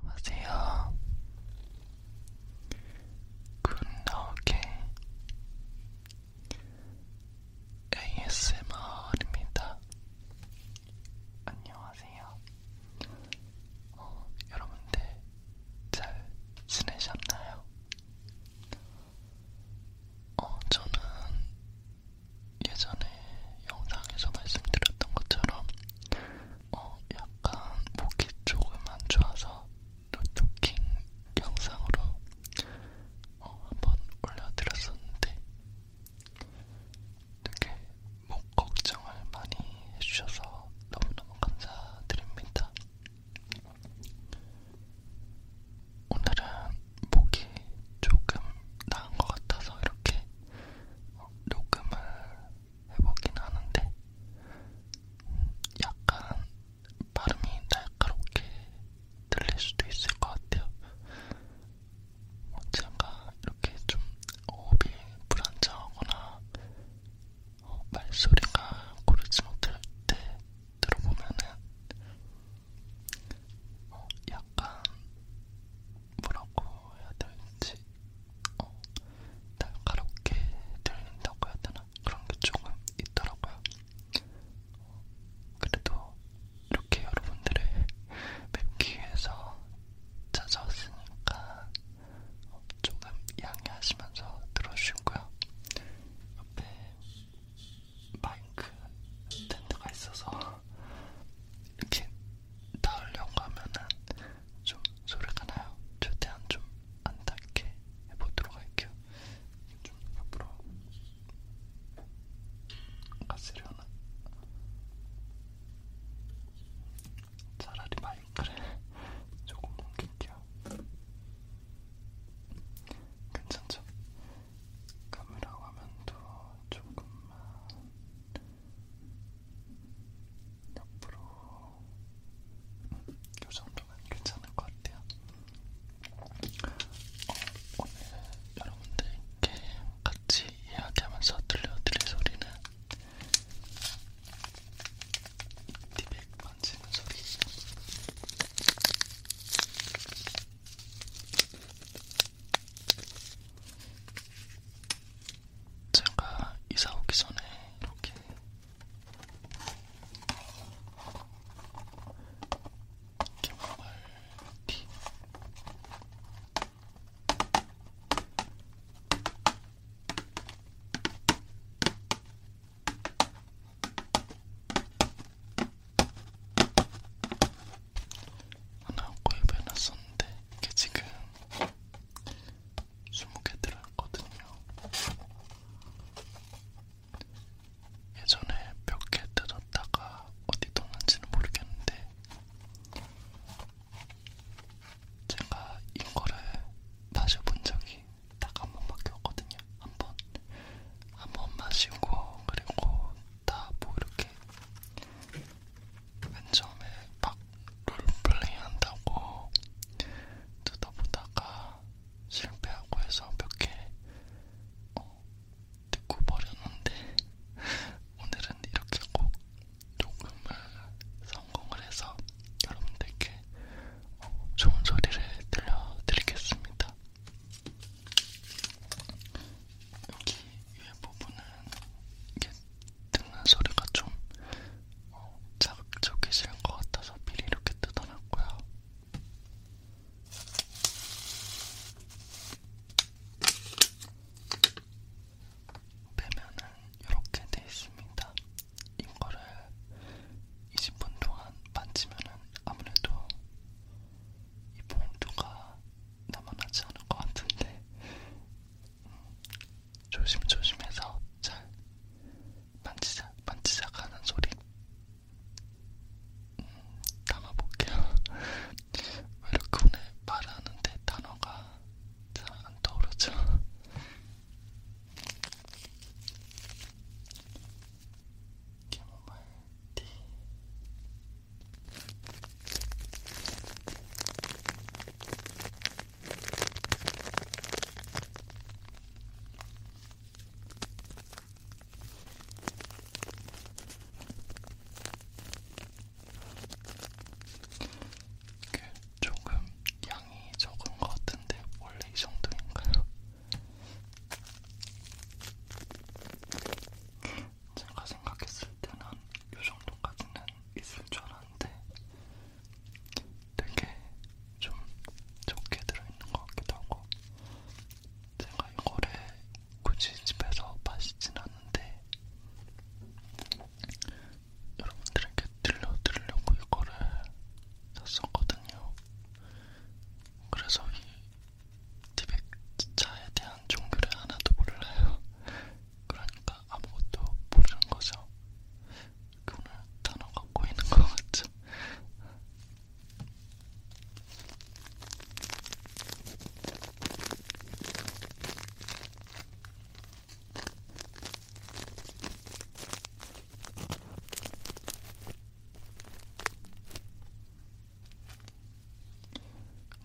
안녕하세요. 굿나오게 ASMR입니다. 안녕하세요. 어, 여러분들 잘 지내셨나요? 어, 저는 예전에 영상에서 말씀드렸던 것처럼 어, 약간 목이 조금 안 좋아서 노토킹 영상으로 어, 한번 올려드렸었는데 되게 목 걱정을 많이 해주셔서 너무너무 감사드립니다. 오늘은 목이 조금 나은 것 같아서 이렇게 녹음을 해보긴 하는데 약간 발음이 날카롭게 들릴 수도 있을 것 같아요. 제가 이렇게 좀 호흡이 불안정하거나 어, 말소리가 고르지 못할 때 들어보면은 어, 약간 뭐라고 해야 될지 어, 날카롭게 들린다고 해야 되나? 그런 게 조금 있더라고요. 어, 그래도 이렇게 여러분들을 뵙기 위해서 찾아왔으니까 어, 조금 양해하시면서 들어주시고요. 옆에 마이크 스탠드가 있어서 이렇게 닿으려고 하면은 좀 소리가 나요. 최대한 좀 안 닿게 해보도록 할게요. 좀 앞으로 가시려나? 차라리 마이크를 조금 옮길게요. 괜찮죠? 카메라 화면도 조금만 옆으로 이 정도면 괜찮을 것 같아요. 어, 오늘 여러분들께 같이 이야기하면서 들려드릴 소리는 티백 만지는 소리. 제가 이사 오기 전에 이렇게 캐모마일티 하나 구입해 놨었는데 이게 지금 20개 들어있거든요. 예전에 몇개 뜯었다가 어디 뒀는지는 모르겠는데 제가 이거를 마셔본 적이 딱한 번밖에 없거든요. 한 번, 한 번 마시고 그리고 다 뭐 이렇게 맨 처음에 막 롤플레이 한다고 뜯어보다가 실패하고 해서 몇개 어, 듣고 버렸는데 오늘은 이렇게 꼭 녹음을 성공을 해서 여러분들께 어, 좋은 소리를 들려드리겠습니다. 여기 위에 부분은 이게 듣는 소리가 좀 어, 자극적이신 것 같아서 미리 이렇게 뜯어놨고요. 빼면은 이렇게 돼 있습니다. 이거를 20분 동안 만지면은 아무래도 이 봉두가 남아나지 않을 것 같은데 음, 조심조심해서 잘 만지작 만지작 하는 소리 음, 담아볼게요. 왜 이렇게 오늘 말하는데 단어가 잘 안 떠오르죠? 캐모마일 티 이게 조금 양이 적은 것 같은데 원래 이 정도인가요? 제가 생각했을 때는 이 정도까지는 있을 줄 알았는데 되게 좀 적게 들어있는 것 같기도 하고 제가 이거를 굳이 집에서 마시진 않는데 여러분들에게 들려드리려고 이거를 샀었거든요. 그래서 이 티백차에 대한 종교를 하나도 몰라요. 그러니까 아무것도 모르는 거죠. 오늘 단어가 꼬이는 것 같죠?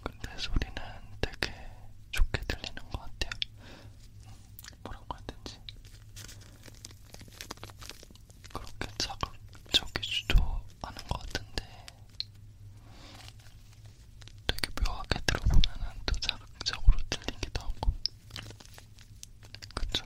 근데 소리는 되게 좋게 들리는 것 같아요. 뭐라고 해야 되지? 그렇게 자극적이지도 않은 것 같은데 되게 묘하게 들어보면 또 자극적으로 들리기도 하고 그쵸?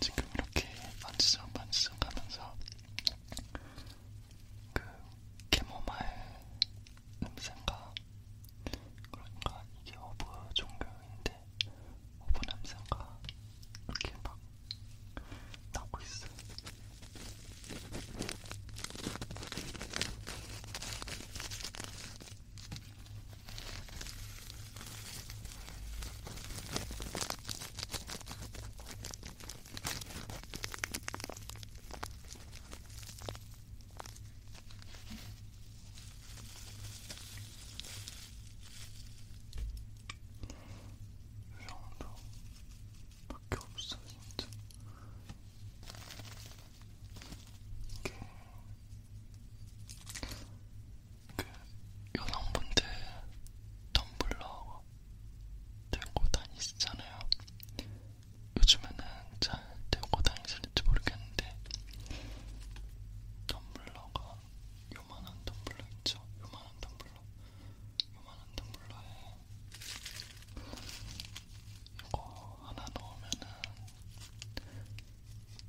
지금 이렇게 만지작 만지작 하면서 그 캐모마일 냄새인가 그러니까 이게 허브 종교인데 허브 냄새인가 이렇게 막 나고 있어. 이 정도밖에 없어 진짜. 이게 그 여성분들 텀블러 들고 다니시잖아요. 요즘에는 잘 들고 다니실지 모르겠는데 덤블러가 요만한 덤블러 있죠? 요만한 덤블러 요만한 덤블러에 이거 하나 넣으면은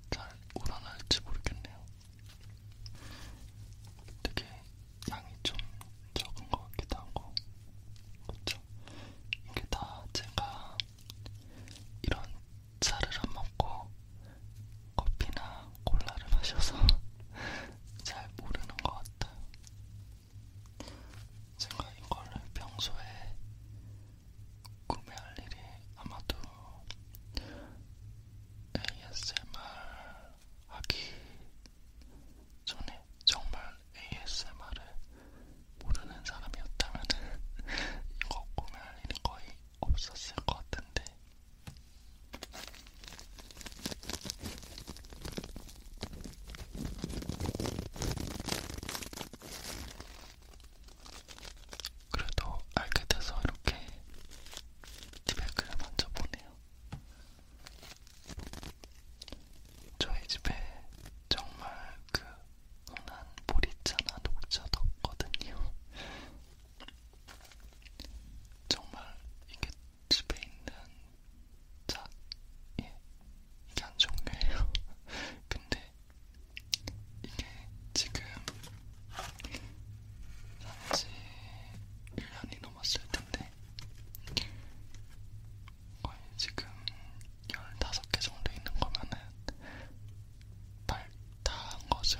잘 우러날지 모르겠네요. 되게 양이 좀 적은 것 같기도 하고 그쵸? 이게 다 제가 이런 차를 안 먹고 커피나 콜라를 마셔서 잘 모르는 것 같아요. 제가 이거를 평소에 구매할 일이 아마도 ASMR 하기 전에 정말 ASMR을 모르는 사람이었다면 이거 구매할 일이 거의 없었을 것 같은데 그래도 알게 돼서 이렇게 피드백을 먼저 보네요. 저희 집에 정말 그 흔한 보리차나 녹차 뒀거든요. 정말 이게 집에 있는 차, 예, 이게 안 좋은 거예요. 근데 이게 지금 산지 1년이 넘었을 텐데 거의 지금 15개 정도 있는 거면은 발다한 거죠.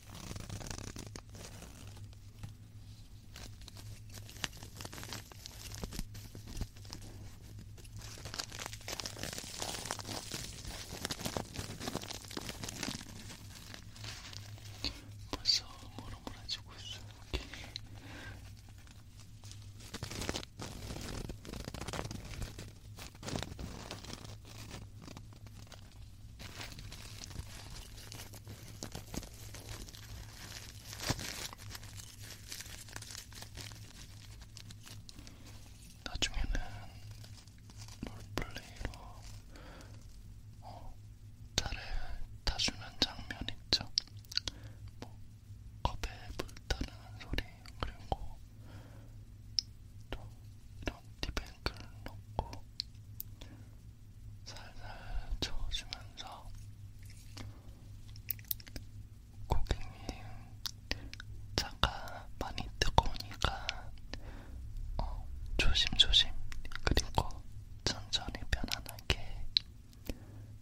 벌써 모락모락지고 있어. 괜히. 나중에는 롤플레이로 어, 차를 타주는 장면 있죠. 뭐 컵에 불타는 소리 그리고 또 이런 티백을 넣고 살살 저어주면서 고객님 차가 많이 뜨거우니까 어, 조심조심 그리고 천천히 편안하게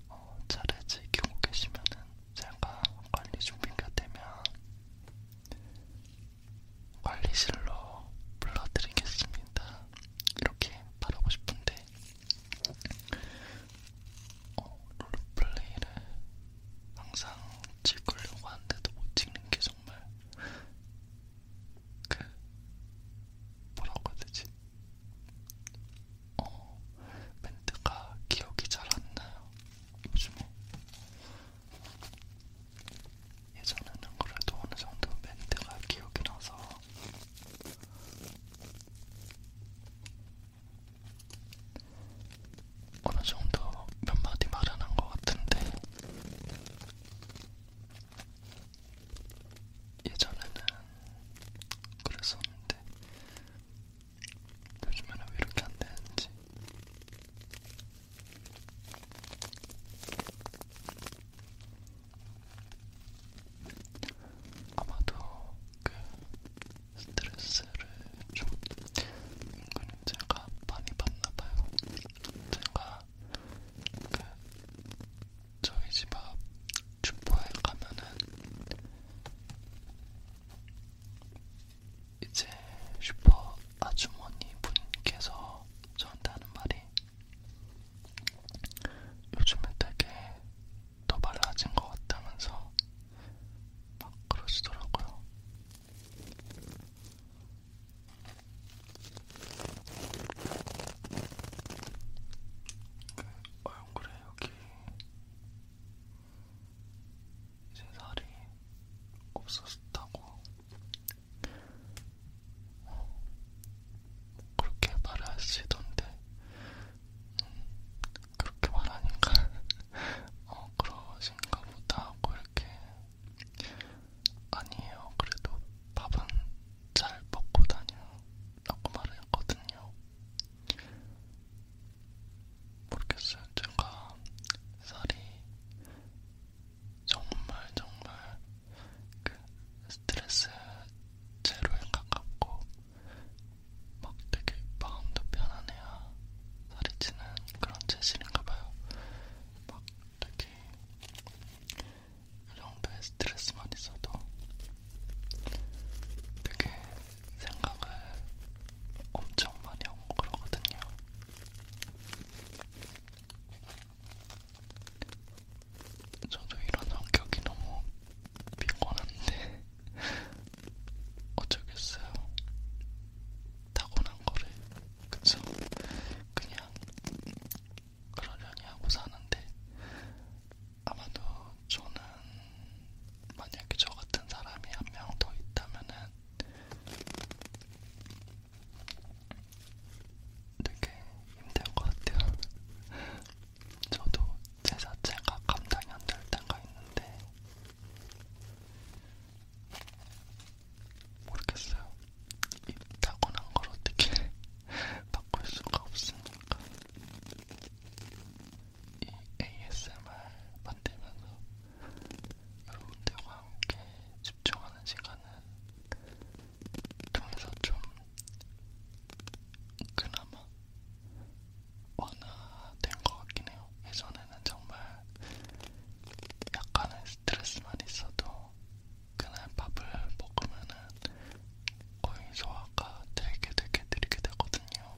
어, 차를 즐기고 계시면은 제가 관리 준비가 되면 관리실로 불러드리겠습니다. 이렇게 바라고 싶은데 어, 롤플레이를 항상 찍으려고 하는데도 못 찍는 게 정말 그 뭐라고 해야 되지? 어, 멘트가 기억이 잘 안 나요. 요즘에 예전에는 그래도 어느 정도 멘트가 기억이 나서 어느 정도 몇 마디 말은 한것 같은데 예전에는 그랬었는데 요즘에는 왜 이렇게 안 되는지 아마도 그 스트레스를 좀 은근히 제가 많이 받나봐요. 제가 그 저희 집앞 슈퍼에 가면은 이제 슈퍼 아주머니 분께서 저한테 하는 말이 요즘에 되게 더발라진 것 같다면서 막 그러시더라고요. 그 얼굴에 여기 제 살이 없었다고 어, 그렇게 말을 하시던데 음, 그렇게 말하니까 어, 그러신가 보다 하고 이렇게 아니에요 그래도 밥은 잘 먹고 다녀 라고 말을 했거든요 모르겠어요 제가 살이 정말 정말 그 스트레스 제로에 가깝고 막 되게 마음도 편안해야 살이 찌는 그런 체질인가봐요. 막 되게 이 그 정도의 스트레스만 있어도 되게 생각을 엄청 많이 하고 그러거든요. 저도 이런 성격이 너무 피곤한데 어쩌겠어요. 타고난 거를 그쵸? 그냥 그러려니 하고 사는데 아마도 저는 만약에 저 같은 사람이 한 명 더 있다면은 되게 힘든 것 같아요. 저도 제 자체가 감당이 안 될 때가 있는데 모르겠어요. 이 타고난 걸 어떻게 바꿀 수가 없으니까 이 ASMR 만들면서 여러분들과 함께 집중하는 시간을 통해서 좀 그나마 완화된 것 같긴 해요. 예전에는 정말 약간의 스트레스만 있어도 그날 밥을 먹으면은 거의 소화가 되게 되게 느리게 되거든요.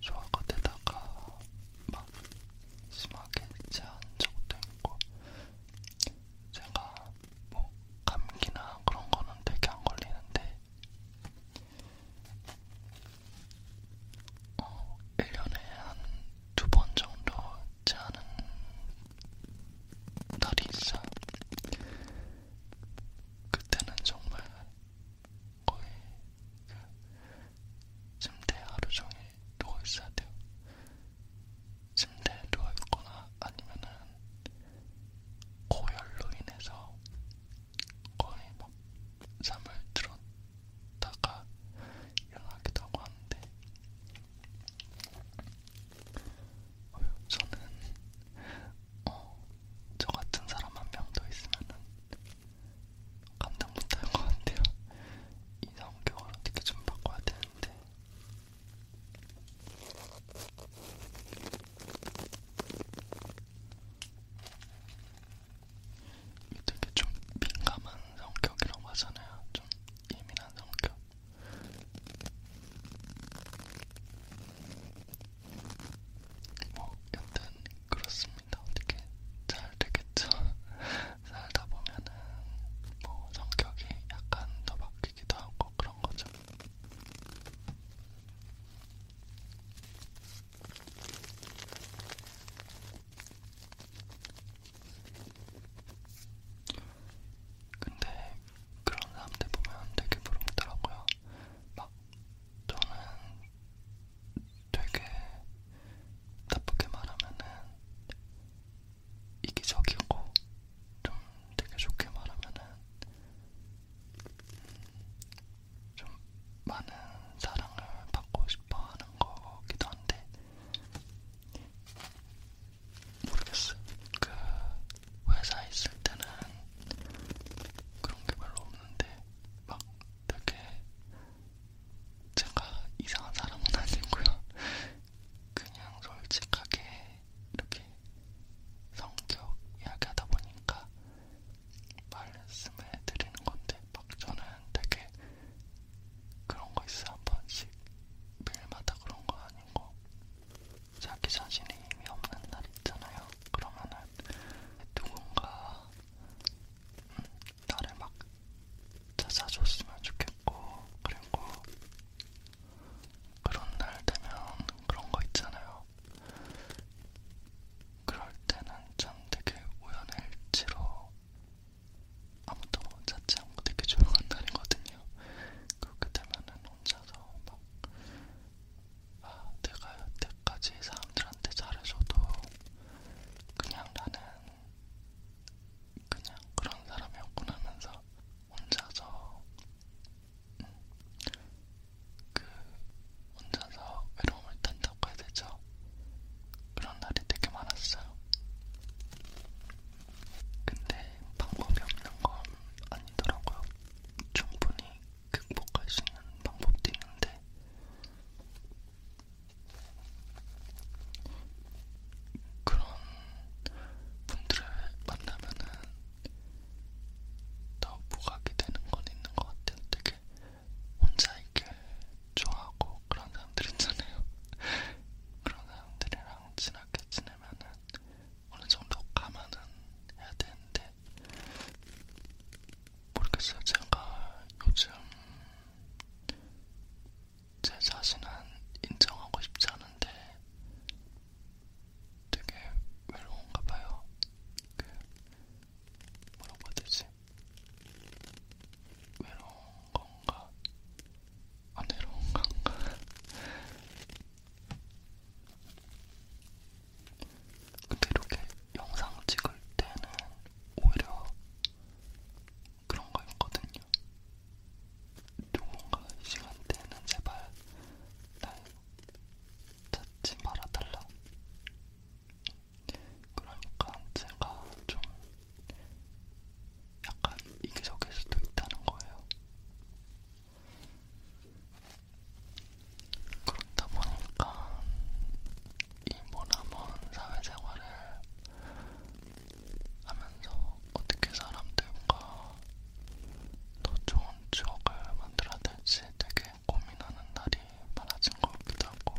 소화가 되다가 막 심하게 체한 적도 있고 제가 뭐 감기나 그런 거는 되게 안 걸리는데 어, 1년에 한 두 번 정도 체하는 날이 있어 그때는 정말 거의 그 침대에 하루 종일 누워 있어야 돼요. 침대에 누워 있거나 아니면은 고열로 인해서 거의 막 잠을 들었다가 일어나기도 하고 하는데 어, 저는 어, 저 같은 사람 한 명 더 있으면은 감당 못할 것 같아요. 이 성격을 어떻게 좀 바꿔야 되는데. 되게 좀 민감한 성격이라고 하잖아요. 좀 예민한 성격. 뭐 여튼 그렇습니다. 어떻게 잘 되겠죠? 살다 보면은 뭐 성격이 약간 더 바뀌기도 하고 그런 거죠. 근데 그런 사람들 보면 되게 부럽더라고요. 막 저는 되게 나쁘게 말하면은 이기적이고 좀 되게 좋게 말하면은 좀 많은 사랑을 받고 싶어 하는 거기도 한데 모르겠어요. 그 회사에 있을 때는 그런 게 별로 없는데 막 되게 제가 이상한 사람은 아니고요. 그냥 솔직하게 이렇게 성격 이야기하다 보니까 말씀해 드리는 건데 막 저는 되게 그런 거 있어 한 번씩 매일마다 그런 거 아니고 자기 자신이 힘이 없는 날 있잖아요. 그러면은 누군가 음, 나를 막 찾아줬으면 좋겠고, 그리고 그런 날 되면 그런 거 있잖아요. 그럴 때는 참 되게 우연의 일치로 아무도 찾지 않고 되게 조용한 날이거든요. 그렇게 되면은 혼자서 막 아, 내가 여태까지 사람들한테 잘해줘도 그냥 나는 그냥 그런 사람이었구나 하면서 혼자서 음, 그 혼자서 외로움을 탄다고 해야 되죠. 그런 날이 되게 많았어요. 근데 방법이 없는 건 아니더라고요. 충분히 극복할 수 있는 방법도 있는데 그런 분들을 만나면은 더 부각이 되는 건 있는 것 같아요. 되게 혼자 있길 좋아하고 그런 사람들 있잖아요. 그런 사람들이랑 친하게 지내면은 어느 정도 감안은 해야 되는데 모르겠어요. 제가 요즘 제 자신은 인정하고 싶지 않은데 되게 외로운가 봐요. 그 뭐라고 해야 되지? 외로운 건가? 안 외로운 건가? 근데 이렇게 영상 찍을 때는 오히려 그런 거 있거든요. 누군가 이 시간대에는 제발 날 찾지 말아달라. 그러니까 제가 좀 약간 이기적일 수도 있다는 거예요. 그렇다 보니까 이 모나먼 사회생활을 하면서 어떻게 사람들과 더 좋은 추억을 만들어야 될지 되게 고민하는 날이 많아진 것 같기도 하고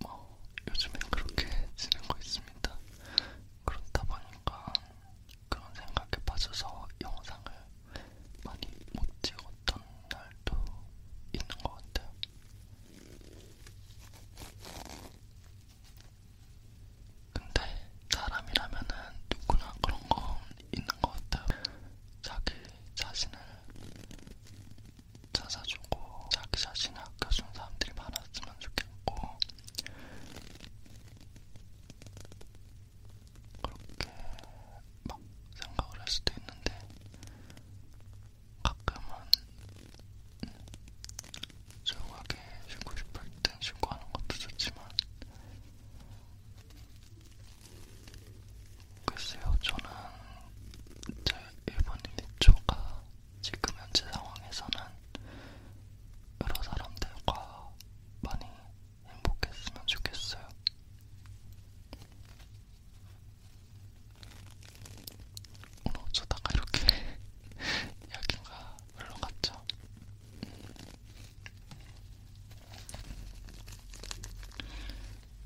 뭐 요즘엔 그렇게 지내고 있습니다. 그렇다 보니까 그런 생각에 빠져서 영상을 많이 못 찍었던 날도 있는 것 같아요. 근데 사람이라면은 누구나 그런 건 있는 것 같아요. 자기 자신을 찾아주고 자기 자신을 아껴준 사람들이 많았으면 있었으면 좋겠고 그렇게 막 생각을 할 수도 있는데 가끔은 조용하게 쉬고 싶을 땐 쉬고 하는 것도 좋지만 글쎄요 저는 제 일본인 입조가 지금 현재 상황에서는 여러 사람들과 많이 행복했으면 좋겠어요. 오늘 어쩌다가 이렇게 이야기가 흘러갔죠.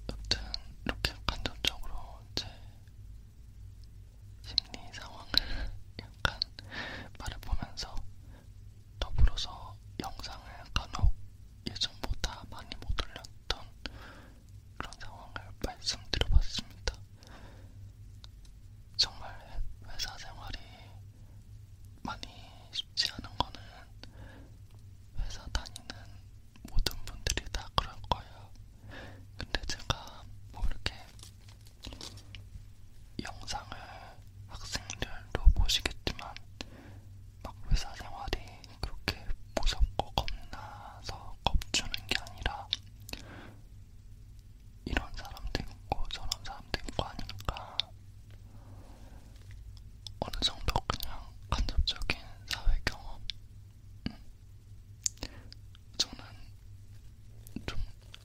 여튼 이렇게 간접적으로 제 심리 상황을 약간 말해보면서 더불어서 영상을 간혹 어, 예전보다 많이 못 올렸던 그런 상황을 말씀드려봤습니다. 정말 회사 생활이 많이 쉽지 않은 거는 회사 다니는 모든 분들이 다 그럴 거예요. 근데 제가 뭐 이렇게 영상을 학생들도 보시겠지만 막 회사 생활이 그렇게 무섭고 겁나서 겁주는 게 아니라 이런 사람도 있고 저런 사람도 있고 하니까 어느 정도 그냥 간접적인 사회 경험 음, 저는 좀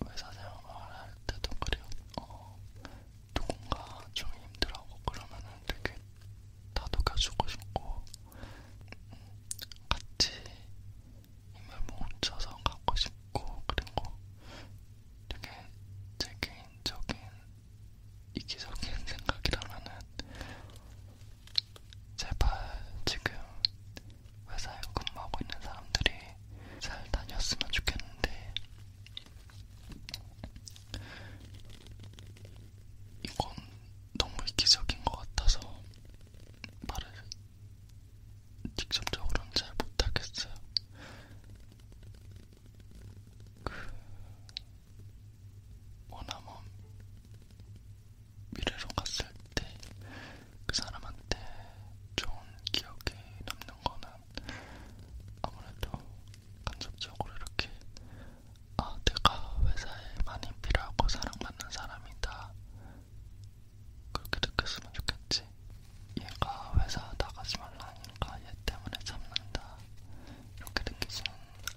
회사 생활을 할 때도 그래요. 어, 누군가 좀 힘들어하고 그러면은 되게 다독여주고 싶고 음, 같이 힘을 뭉쳐서 가고 싶고 그리고 되게 제 개인적인 이기적인 생각이라면은 제발 지금 회사에 근무하고 있는 사람들이 잘 다녔으면 좋겠는데 이건 너무 이기적인 것 같아서 말을 직접적으로는 잘 못하겠어요. 그 원하면 미래로 갔을 때 그 사람한테 좋은 기억에 남는 거는 아무래도 간접적으로 이렇게 아 내가 회사에 많이 필요하고 사랑받는 사람이다 그렇게 느꼈으면 좋겠지 얘가 회사 나가지 말라니까 얘 때문에 참는다 이렇게 느끼진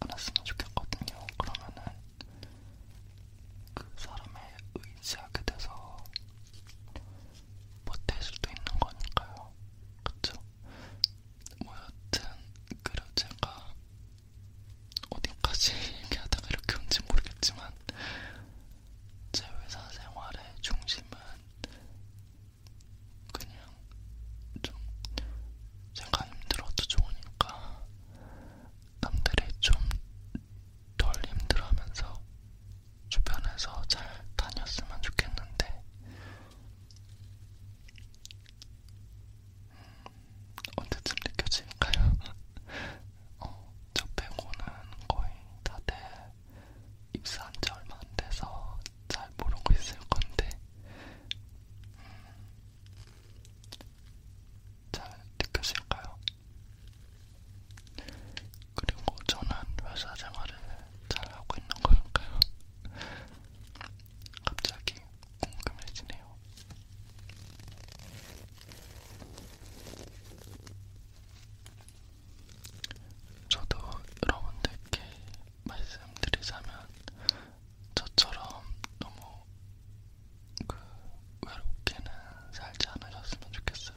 않았으면 좋겠거든요 그러면은 그 사람에 의지하게 돼서 못될 수도 있는 거니까요. 그쵸? 뭐 여튼 그래 제가 어디까지 얘기하다가 이렇게 온지 모르겠지만 제 회사 생활의 중심은 그냥 좀 제가 힘들어도 좋으니까 남들이 좀 덜 힘들어하면서 주변에서 잘 다녔으면 좋겠는데 음, 언제쯤 느껴질까요? 어, 저 빼고는 거의 다들 입사한 지 얼마 안 돼서 잘 모르고 있을 건데 음, 잘 느껴질까요? 그리고 저는 회사 생활을 잘 하고 있는 걸까요? 갑자기 궁금해지네요. 저도 여러분들께 말씀드리자면 저처럼 너무 그 외롭게는 살지 않으셨으면 좋겠어요.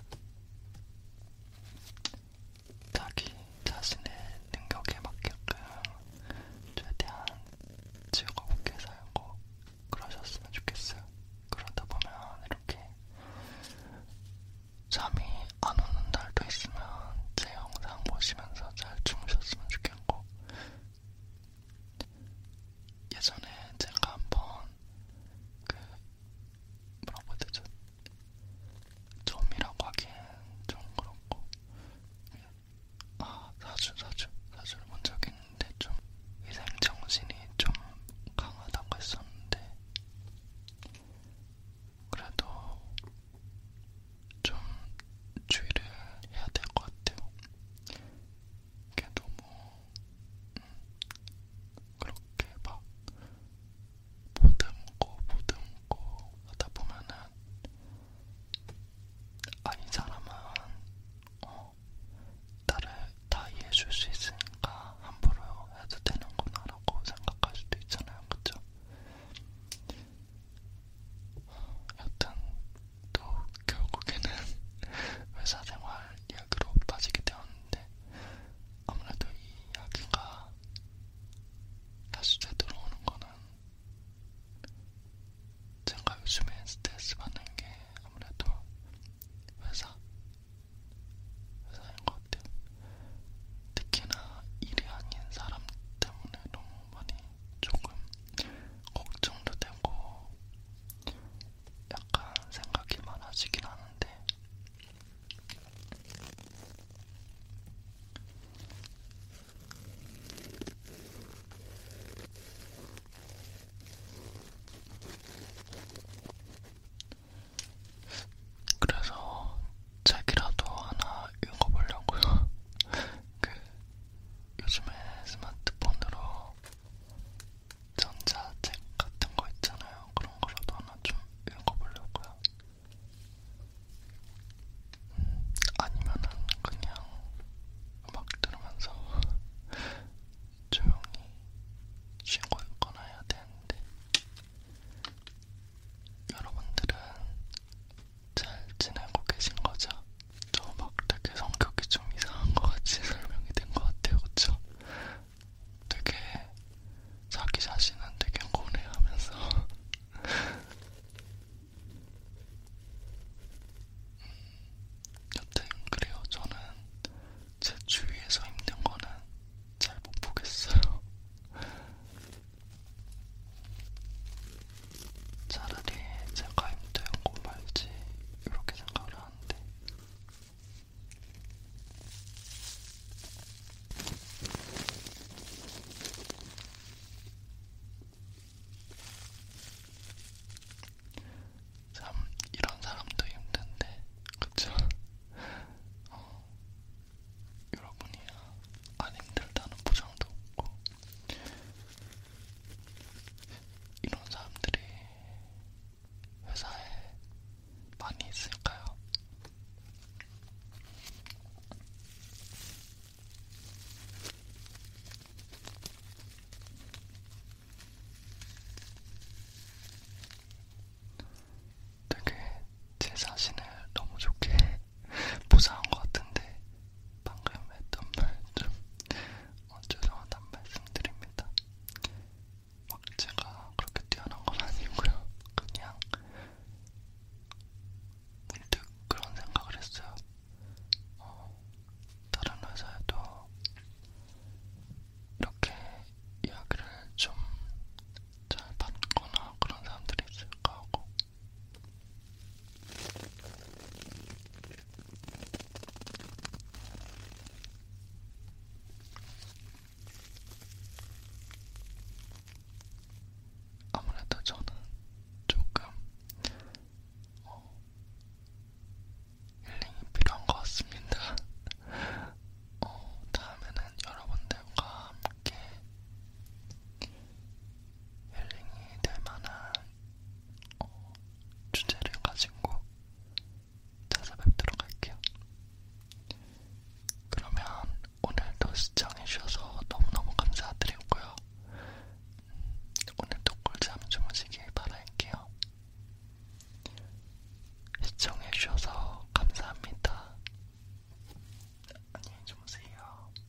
자기 자신의 능력에 맞게끔 최대한 즐겁게 살고 그러셨으면 좋겠어요. 그러다 보면 이렇게 잠이 안 오는 날도 있으면 제 영상 보시면서 잘 주무셨으면 좋겠고 예전에 제가 한번 그 뭐라고 해야 되죠? 점이라고 하기엔 좀 그렇고 아 사주 사주 사주를 본 적이 있는데 좀 위생정신이 좀 강하다고 했었는데 그래도 좀 주의를 해야 될 것 같아요. 그게 너무 뭐, 음, 그렇게 막 보듬고 보듬고 하다 보면은 아니 사람은 어, 나를 다 이해해줄 수 있으니까 함부로 해도 되는구나라고 생각할 수도 있잖아요, 그렇죠? 여튼 또 결국에는 회사생활 이야기로 빠지게 되었는데 아무래도 이 이야기가 다시 되돌아오는 거는 제가 요즘에 스트레스 받는 게 아무래도 회사 회사인 것 같아요. 특히나 일이 아닌 사람 때문에 너무 많이 조금 걱정도 되고 약간 생각이 많아지긴 하는데 그래서 책이라도 하나 읽어보려고요. 그 요즘에 스마트폰으로 전자책 같은 거 있잖아요. 그런 거라도 하나 좀 읽어보려고요. 음, 아니면은 그냥 음악 들으면서 조용히 쉬고 있거나 해야 되는데 여러분들은 잘 지내고 계신 거죠? 저 막 되게 성격이 좀 이상한 것 같이 설명이 된것 같아요, 그쵸? 되게 자기 자신은 되게 고뇌하면서 여튼 그래요, 저는 제 주위에서 힘든 거는 잘 못 보겠어요. 차라리 제가 힘들은 거 말지 이렇게 생각을 하는데 참 이런 사람도 힘든데 그쵸? 어, 여러분이야 안 힘들다는 보장도 없고 이런 사람들이 회사에 많이 있을까요? 되게 제 자신을 너무 좋게 보상한 것 같은데 방금 했던 말좀 어, 죄송하단 말씀드립니다. 막 제가 그렇게 뛰어난 건 아니고요. 그냥 문득 그런 생각을 했어요. 어, 다른 회사에도 이렇게 이야기를 좀 잘 받거나 그런 사람들이 있을까 하고 아무래도 저는 조금 어, 힐링이 필요한 것 같습니다. 어, 다음에는 여러분들과 함께 힐링이 될 만한 어, 주제를 가지고 찾아뵙도록 할게요. 그러면 오늘도 시청해주셔서 너무너무 감사드리고요. 오늘도 꿀잠 주무시길 바랄게요. 시청해주셔서 감사합니다. 안녕히 주무세요.